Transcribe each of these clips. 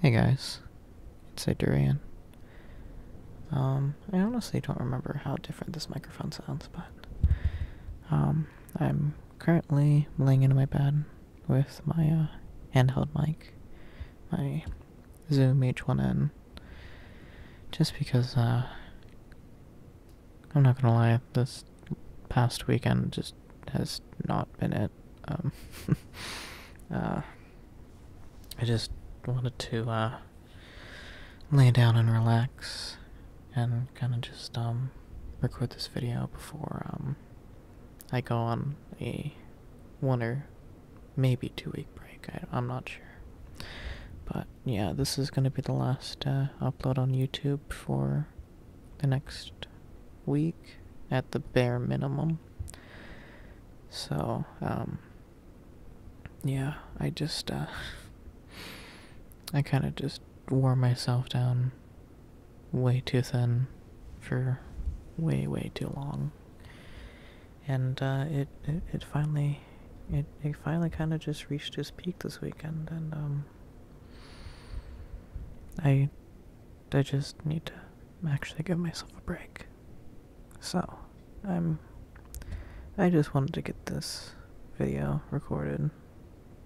Hey guys, it's Adrian. Um, I honestly don't remember how different this microphone sounds, but um, I'm currently laying in my bed with my uh, handheld mic, my Zoom H1n, just because uh, I'm not gonna lie, this past weekend just has not been it. Um, uh, I just wanted to uh, lay down and relax, and kind of just um, record this video before um, I go on a one or maybe two week break. I, am not sure, but yeah, this is gonna be the last uh, upload on YouTube for the next week at the bare minimum. So, um, yeah, I just, uh, I kind of just wore myself down way too thin for way, way too long. And, uh, it, it, it finally, it, it finally kind of just reached its peak this weekend, and, um, I I just need to actually give myself a break. So, I'm. I just wanted to get this video recorded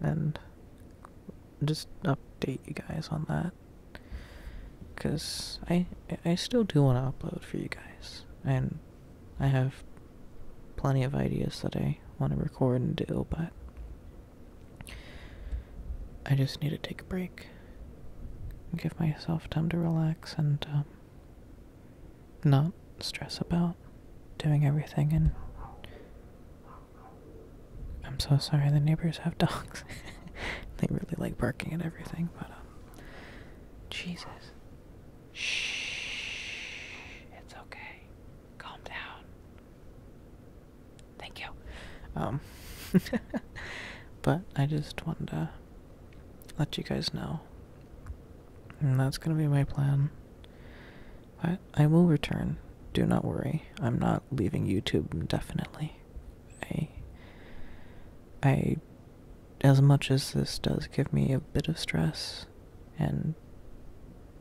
and just update you guys on that. Because I, I still do want to upload for you guys. And I have plenty of ideas that I want to record and do, but I just need to take a break, give myself time to relax, and um, not stress about doing everything. And I'm so sorry the neighbors have dogs; they really like barking at everything. But um, Jesus, shh, it's okay. Calm down. Thank you. Um, but I just wanted to let you guys know. that's gonna be my plan. But I will return. Do not worry. I'm not leaving YouTube indefinitely. I as much as this does give me a bit of stress and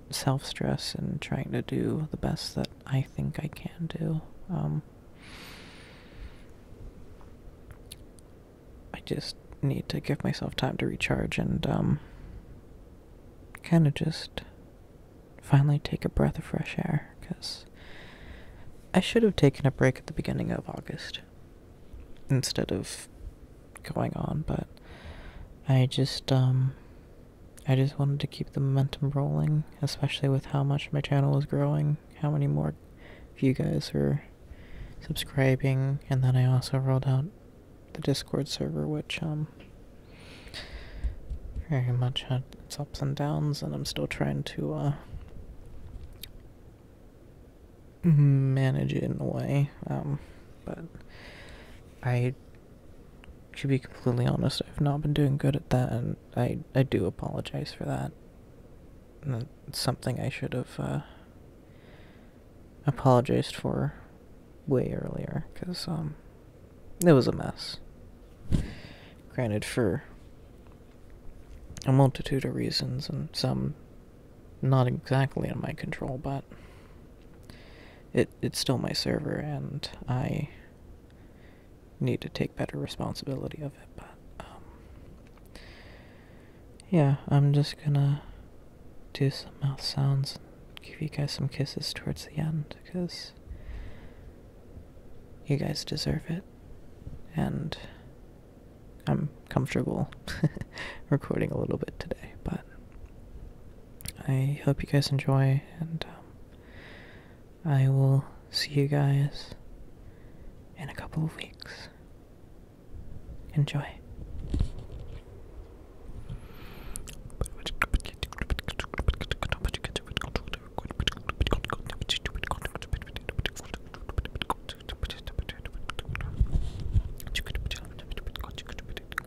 self stress and trying to do the best that I think I can do. Um, I just need to give myself time to recharge and um, kind of just finally take a breath of fresh air because I should have taken a break at the beginning of August instead of going on, but I just um, I just wanted to keep the momentum rolling, especially with how much my channel is growing, how many more of you guys are subscribing, and then I also rolled out the Discord server, which, um, very much had its ups and downs, and I'm still trying to, uh, manage it in a way, um, but I to be completely honest, I've not been doing good at that, and I I do apologize for that. it's something I should have uh, apologized for way earlier, because um, it was a mess. Granted, for a multitude of reasons, and some not exactly in my control, but. It, it's still my server, and I need to take better responsibility of it. But um, yeah, I'm just gonna do some mouth sounds give you guys some kisses towards the end because you guys deserve it, and I'm comfortable recording a little bit today, but I hope you guys enjoy, and um, I will see you guys in a couple of weeks. Enjoy.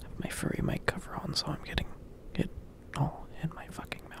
have my furry mic cover on, so I'm getting it all in my fucking mouth.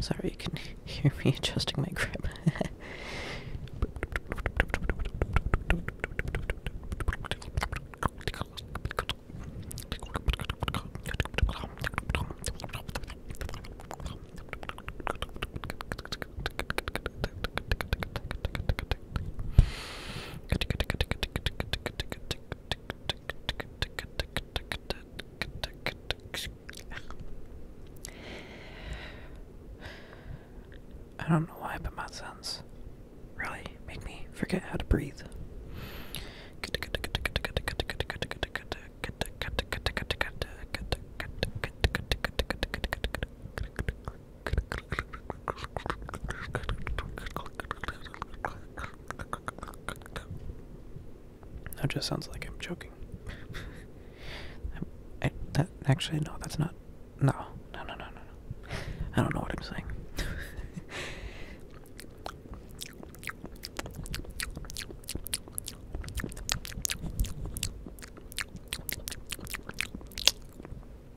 Sorry, you can hear me adjusting my grip. I don't know why, but my sons really make me forget how to breathe. That just sounds like I'm joking. I, I, that, actually, no, that's not. No, no, no, no, no, no. I don't know what I'm saying.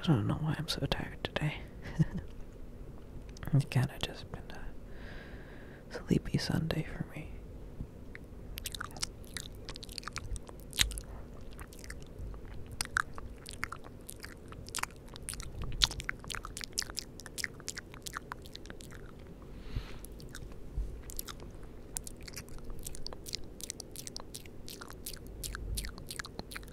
I don't know why I'm so tired today. it's kind of just been uh, sleepy Sunday for me.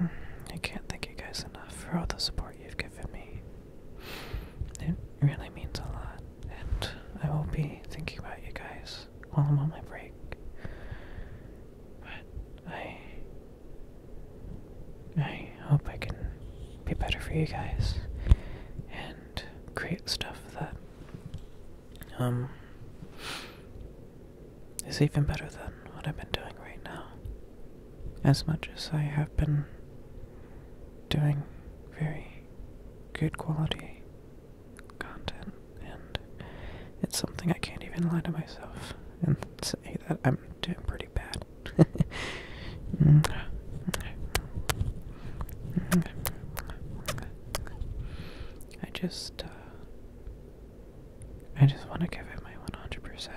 I can't thank you guys enough for all the support you've given me. It really means a lot, and I will be thinking about you guys while I'm on my break. But I. I hope I can be better for you guys and create stuff that, um, is even better than what I've been doing right now. As much as I have been doing very good quality content, and it's something I can't even lie to myself and say that I'm doing pretty bad. I just uh, I just want to give it my 100%,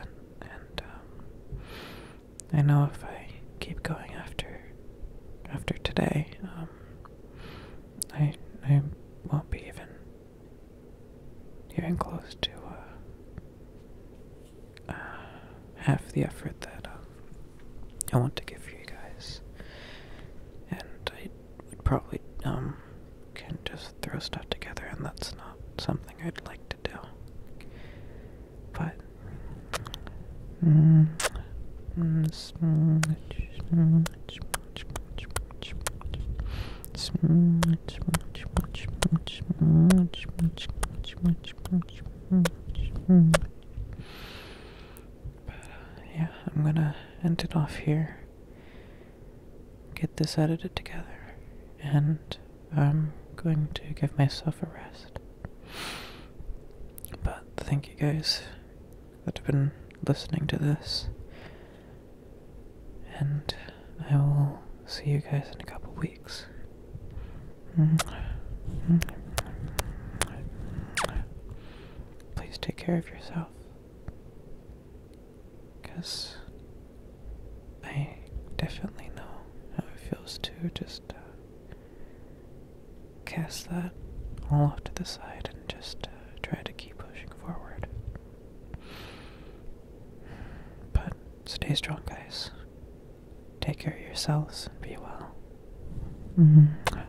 and um, I know if I keep going after after today, um, I I won't be even even close to uh, uh, half the effort that um, I want to give you guys, and I would probably um can just throw stuff together, and that's not something I'd like to do. But mm, mm, but uh, yeah, I'm gonna end it off here get this edited together, and I'm going to give myself a rest. But thank you guys that have been listening to this, and I will see you guys in a couple weeks. Please take care of yourself. Because I definitely know how it feels to just uh, cast that all off to the side and just uh, try to keep pushing forward. But stay strong, guys. Take care of yourselves and be well. Mm-hmm.